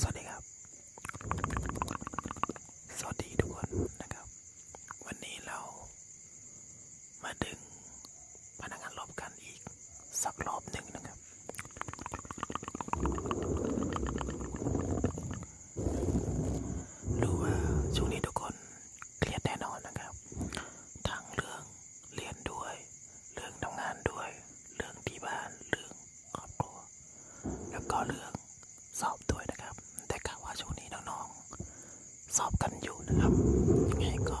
สวัสดีครับ สวัสดีทุกคนนะครับ วันนี้เรามาดึงพนักงานรอบกันอีกสักรอบหนึ่งนะครับครับรู้ว่าช่วงนี้ทุกคนเครียดแน่นอนนะครับ ทั้งเรื่องเรียนด้วย เรื่องทำงานด้วย เรื่องที่บ้าน เรื่องครอบครัว แล้วก็เรื่องสอบด้วยนะครับ แต่กะว่าช่วงนี้น้องๆสอบกันอยู่นะครับ ยังไงก็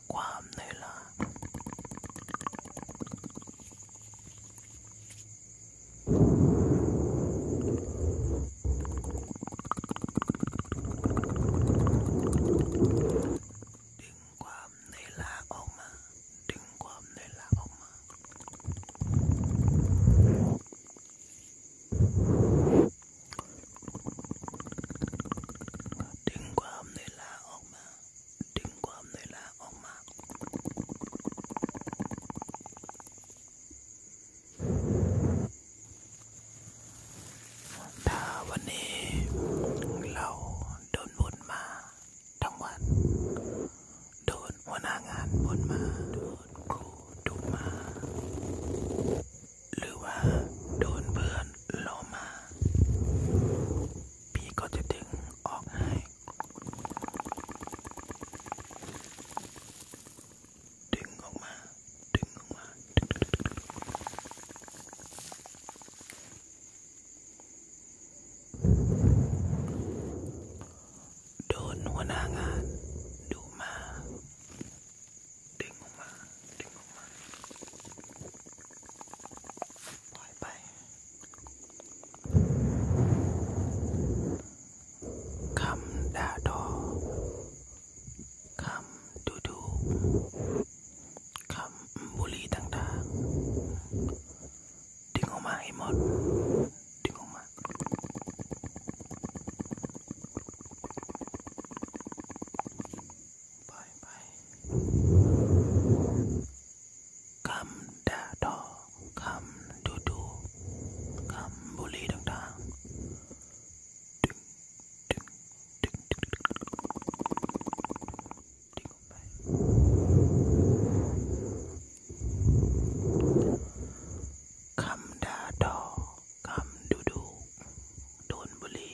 Guamnela. Đừng Guamnela ông mà, đừng Guamnela ông mà. Đừng Guamnela ông mà. ดึงความเหนื่อยล้าออกมา ถ้าวันนี้เราโดนบ่นมาทั้งวัน โดนหัวหน้างานบ่นมา โดนครูดุมา หรือว่าโดนเพื่อนโลมาพี่ก็จะดึงออกให้ดึงออกมาดึงออกมา โดนหัวหน้างานดูมาดึงออกมาดึงปล่อยไป คำ ด่าทอคำ ดูดูคำบุรีต่างๆดึงออกมาให้หมดดึงออกมาคปล่อยไปคำด่าทอคำดูดูคำบุรีต่างๆดึงดึงดึงดึงดึงดึงออกไปคำด่าทอคำดูดูโดนบุรี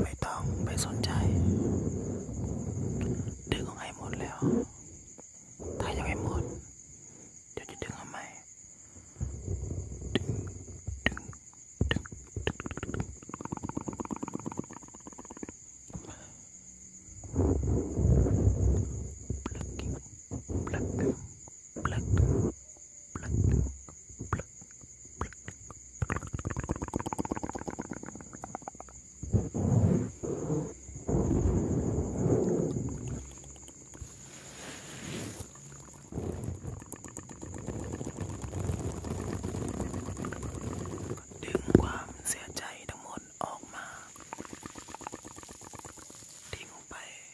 ไม่ต้องไปสนใจดึงออกให้หมดแล้วถ้ายังไม่หมด เดี๋ยวจะดึงทำไมดึงดึงดึงดึง plug plug plug ดึงความเสียใจทั้งหมดออกมาทิ้งไป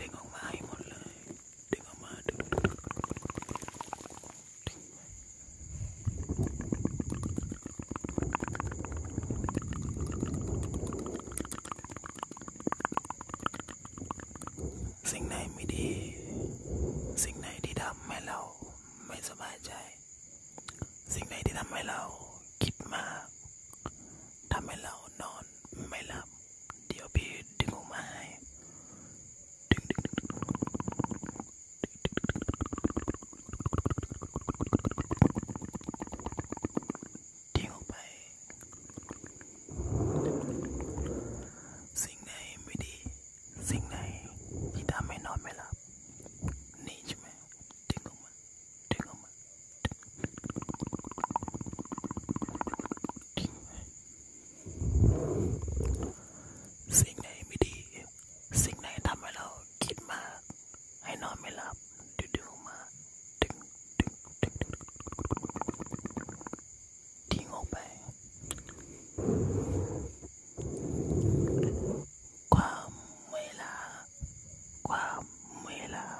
ดึงออกมาให้หมดเลยดึงออกมาดึงสิ่งไหนไม่ดี สิ่งไหนที่ทำให้เราไม่สบายใจ สิ่งไหนที่ทำให้เราคิดมากทำให้เรานอน ไม่หลับ เดี๋ยวพี่ดึงออกมาให้ดึงดึงดึงดึงทิ้งออกไป สิ่งไหนไม่ดี สิ่งไหนที่ทำให้นอนไม่หลับนี่ใช่ไหมดึงออกมาดึงออกมาสิ่งไหนไม่ดี สิ่งไหนทำให้เราคิดมาก ให้นอนไม่หลับดึงดึงออกมาดึงดึงดึงทิ้งออกไป ความไม่ลา qua mười là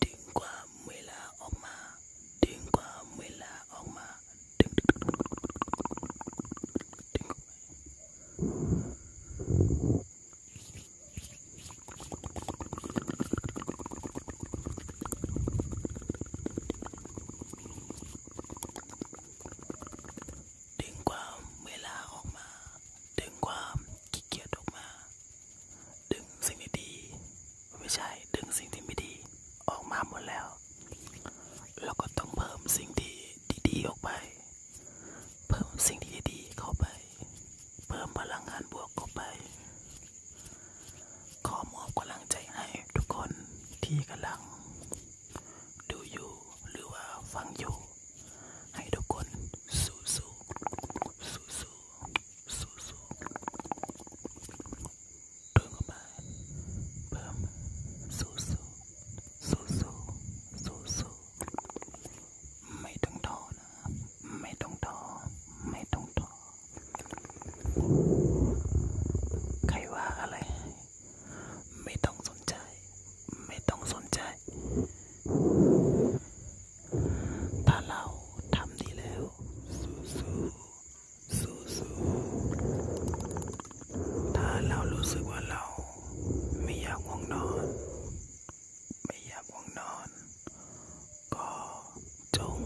tiếng qua mười là ông mà tiếng qua mười là ông mà tiếng tiếng qua mười là ông mà tiếng qua เกียจออกมาดึงสิ่งดี ไม่ใช่ดึงสิ่งที่ไม่ดีออกมาหมดแล้วเราก็ต้องเพิ่มสิ่งดีๆออกไป เพิ่มสิ่งดีๆเข้าไป เพิ่มพลังงานบวกเข้าไปขอมอบกำลังใจให้ทุกคนที่กำลังดูอยู่หรือว่าฟังอยู่ให้ทุกคนสู้สู้สู้สู้สู้สู้เดินเข้าไปเพิ่มสู้สู้สู้สู้สู้สู้ไม่ต้องท้อนะไม่ต้องท้อไม่ต้องท้อใครว่าอะไร ไม่ต้องสนใจไม่ต้องสนใจ ถ้าเราทำดีแล้วสู้สู้สู้สู้ถ้าเรารู้สึกว่าเรา ไม่อยากง่วงนอน ไม่อยากง่วงนอน ก็จง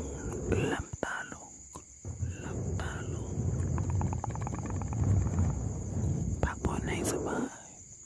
หลับตาลงหลับตาลงพักผ่อนให้สบาย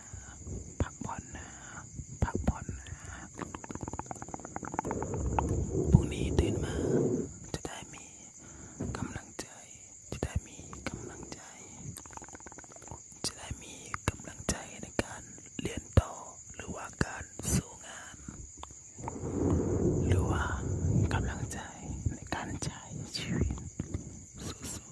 นะพักผ่อนนะ พักผ่อนนะพรุ่งนี้ตื่นมาจะได้มีกำลังใจ จะได้มีกำลังใจ จะได้มีกำลังใจในการเรียนตหรือว่าการสู้งาน หรือว่ากำลังใจในการใช้ชีวิตสู้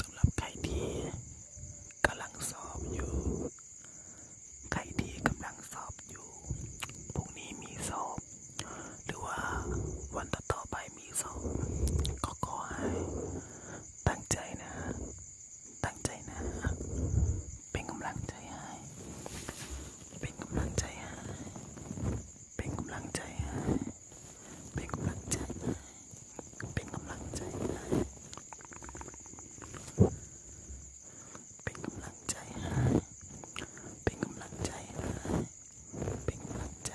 สำหรับใครที่กำลังสอบอยู่ ใครที่กำลังสอบอยู่ พรุ่งนี้มีสอบ หรือว่าวันต่อๆไปมีสอบ ก็ขอให้ ตั้งใจนะ ตั้งใจนะ เป็นกำลังใจให้ เป็นกำลังใจให้เป็นกำลังใจให้เป็นกำลังใจ เป็นกำลังใจ เป็นกำลังใจ เป็นกำลังใจ เป็นกำลังใจ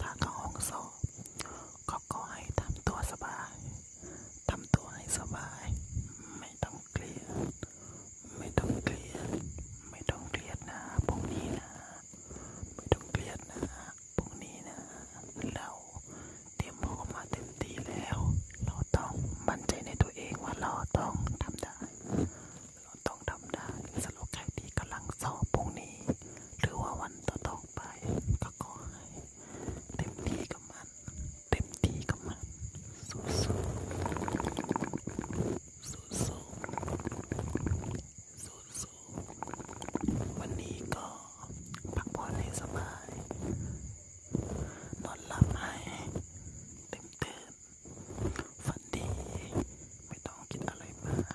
ถ้าเข้าห้องสอบก็ขอให้ทำตัวสบายทำตัวให้สบาย ไม่ต้องเครียดไม่ต้องเครียดไม่ต้องเครียดนะพรุ่งนี้นะ ไม่ต้องเครียดนะพรุ่งนี้นะเราเตรียมพร้อมมาเต็มที่แล้ว เราต้องมั่นใจในตัวเองว่าเราต้องทำได้ เราต้องทำได้สรุปใครที่กำลังสอบพรุ่งนี้ หรือว่าวันต่อๆไปก็ขอให้ เต็มที่กับมัน เต็มที่กับมัน สู้ๆสู้ๆสู้ๆวันนี้ก็พักผ่อนให้สบาย นอนหลับให้เต็มตื่นฝันดี ไม่ต้องคิดอะไรมาก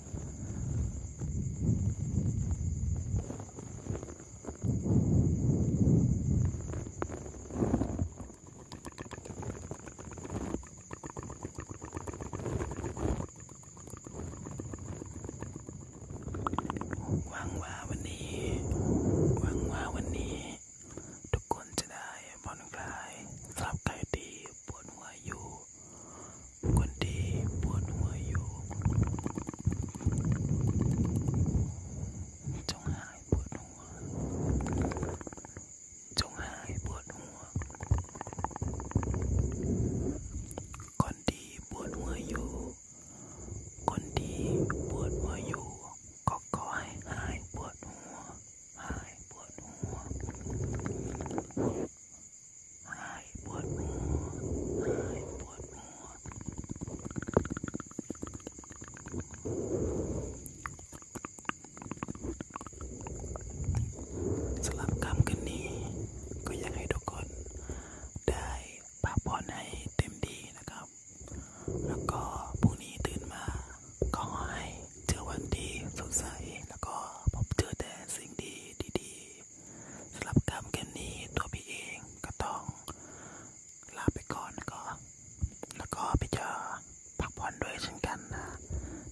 หวังว่าวันนี้ หวังว่าวันนี้ ทุกคนจะได้ผ่อนคลายสำหรับใครที่ปวดหัวอยู่คนดีปวดหัวอยู่จงหายปวดหัวจงหายปวดหัวคนดีปวดหัวอยู่คนดีปวดหัวอยู่ก็ขอให้หายปวดหัวหายปวดหัวหายปวดหัวหายปวดหัวสำหรับคำกันนี้ ก็อยากให้ทุกคน ได้พักผ่อนให้เต็มดีนะครับ แล้วก็พรุ่งนี้ตื่นมา ขอให้เจอวันดีสดใสแล้วก็พบเจอแต่สิ่งดีดีๆสำหรับกรรมเกมนี้ตัวพี่เองก็ต้องลาไปก่อนก็ แล้วก็พี่จะพักผ่อนด้วยเช่นกันนะ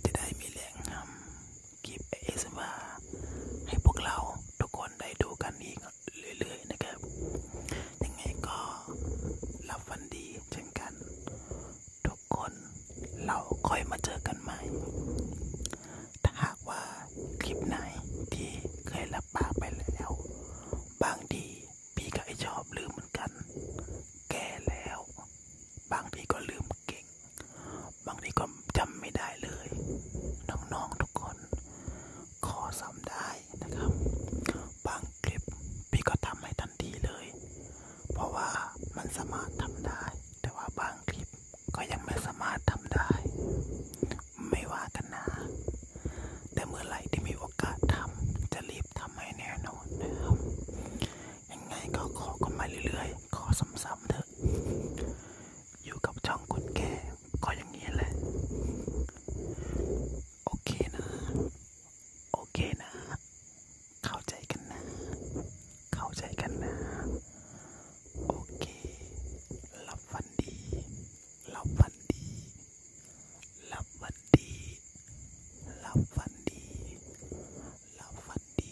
จะได้มีแรงทำคลิปเอสมา ให้พวกเราทุกคนได้ดูกันอีกเรื่อยๆนะครับ ยังไงก็รับฟันดีเช่นกัน ทุกคนเราค่อยมาเจอกันใหม่ถ้าหากว่าคลิปไหนที่เคยรับปากไปแล้ว บางทีพี่ก็ไอชอบลืมเหมือนกัน แก่แล้ว บางทีก็ลืมเก่ง บางทีก็จำไม่ได้เลยน้องๆทุกคนขอซ้ำได้นะครับ บางคลิปพี่ก็ทำให้ทันทีเลย เพราะว่ามันสามารถทำได้ แต่ว่าบางคลิปก็ยังไม่สามารถทำได้ ไม่ว่ากันนะแต่เมื่อไหร่ที่มีโอกาสทำจะรีบทำให้แน่นอนนะครับยังไงก็ขอกันมาเรื่อยๆ ขอซ้ำๆเถอะ อยู่กับช่องคนแก่ก็อย่างนี้แหละโอเคนะ โอเคนะเข้าใจกันนะ เข้าใจกันนะ โอเค หลับฝันดี หลับฝันดี หลับฝันดี หลับฝันดี หลับฝันดี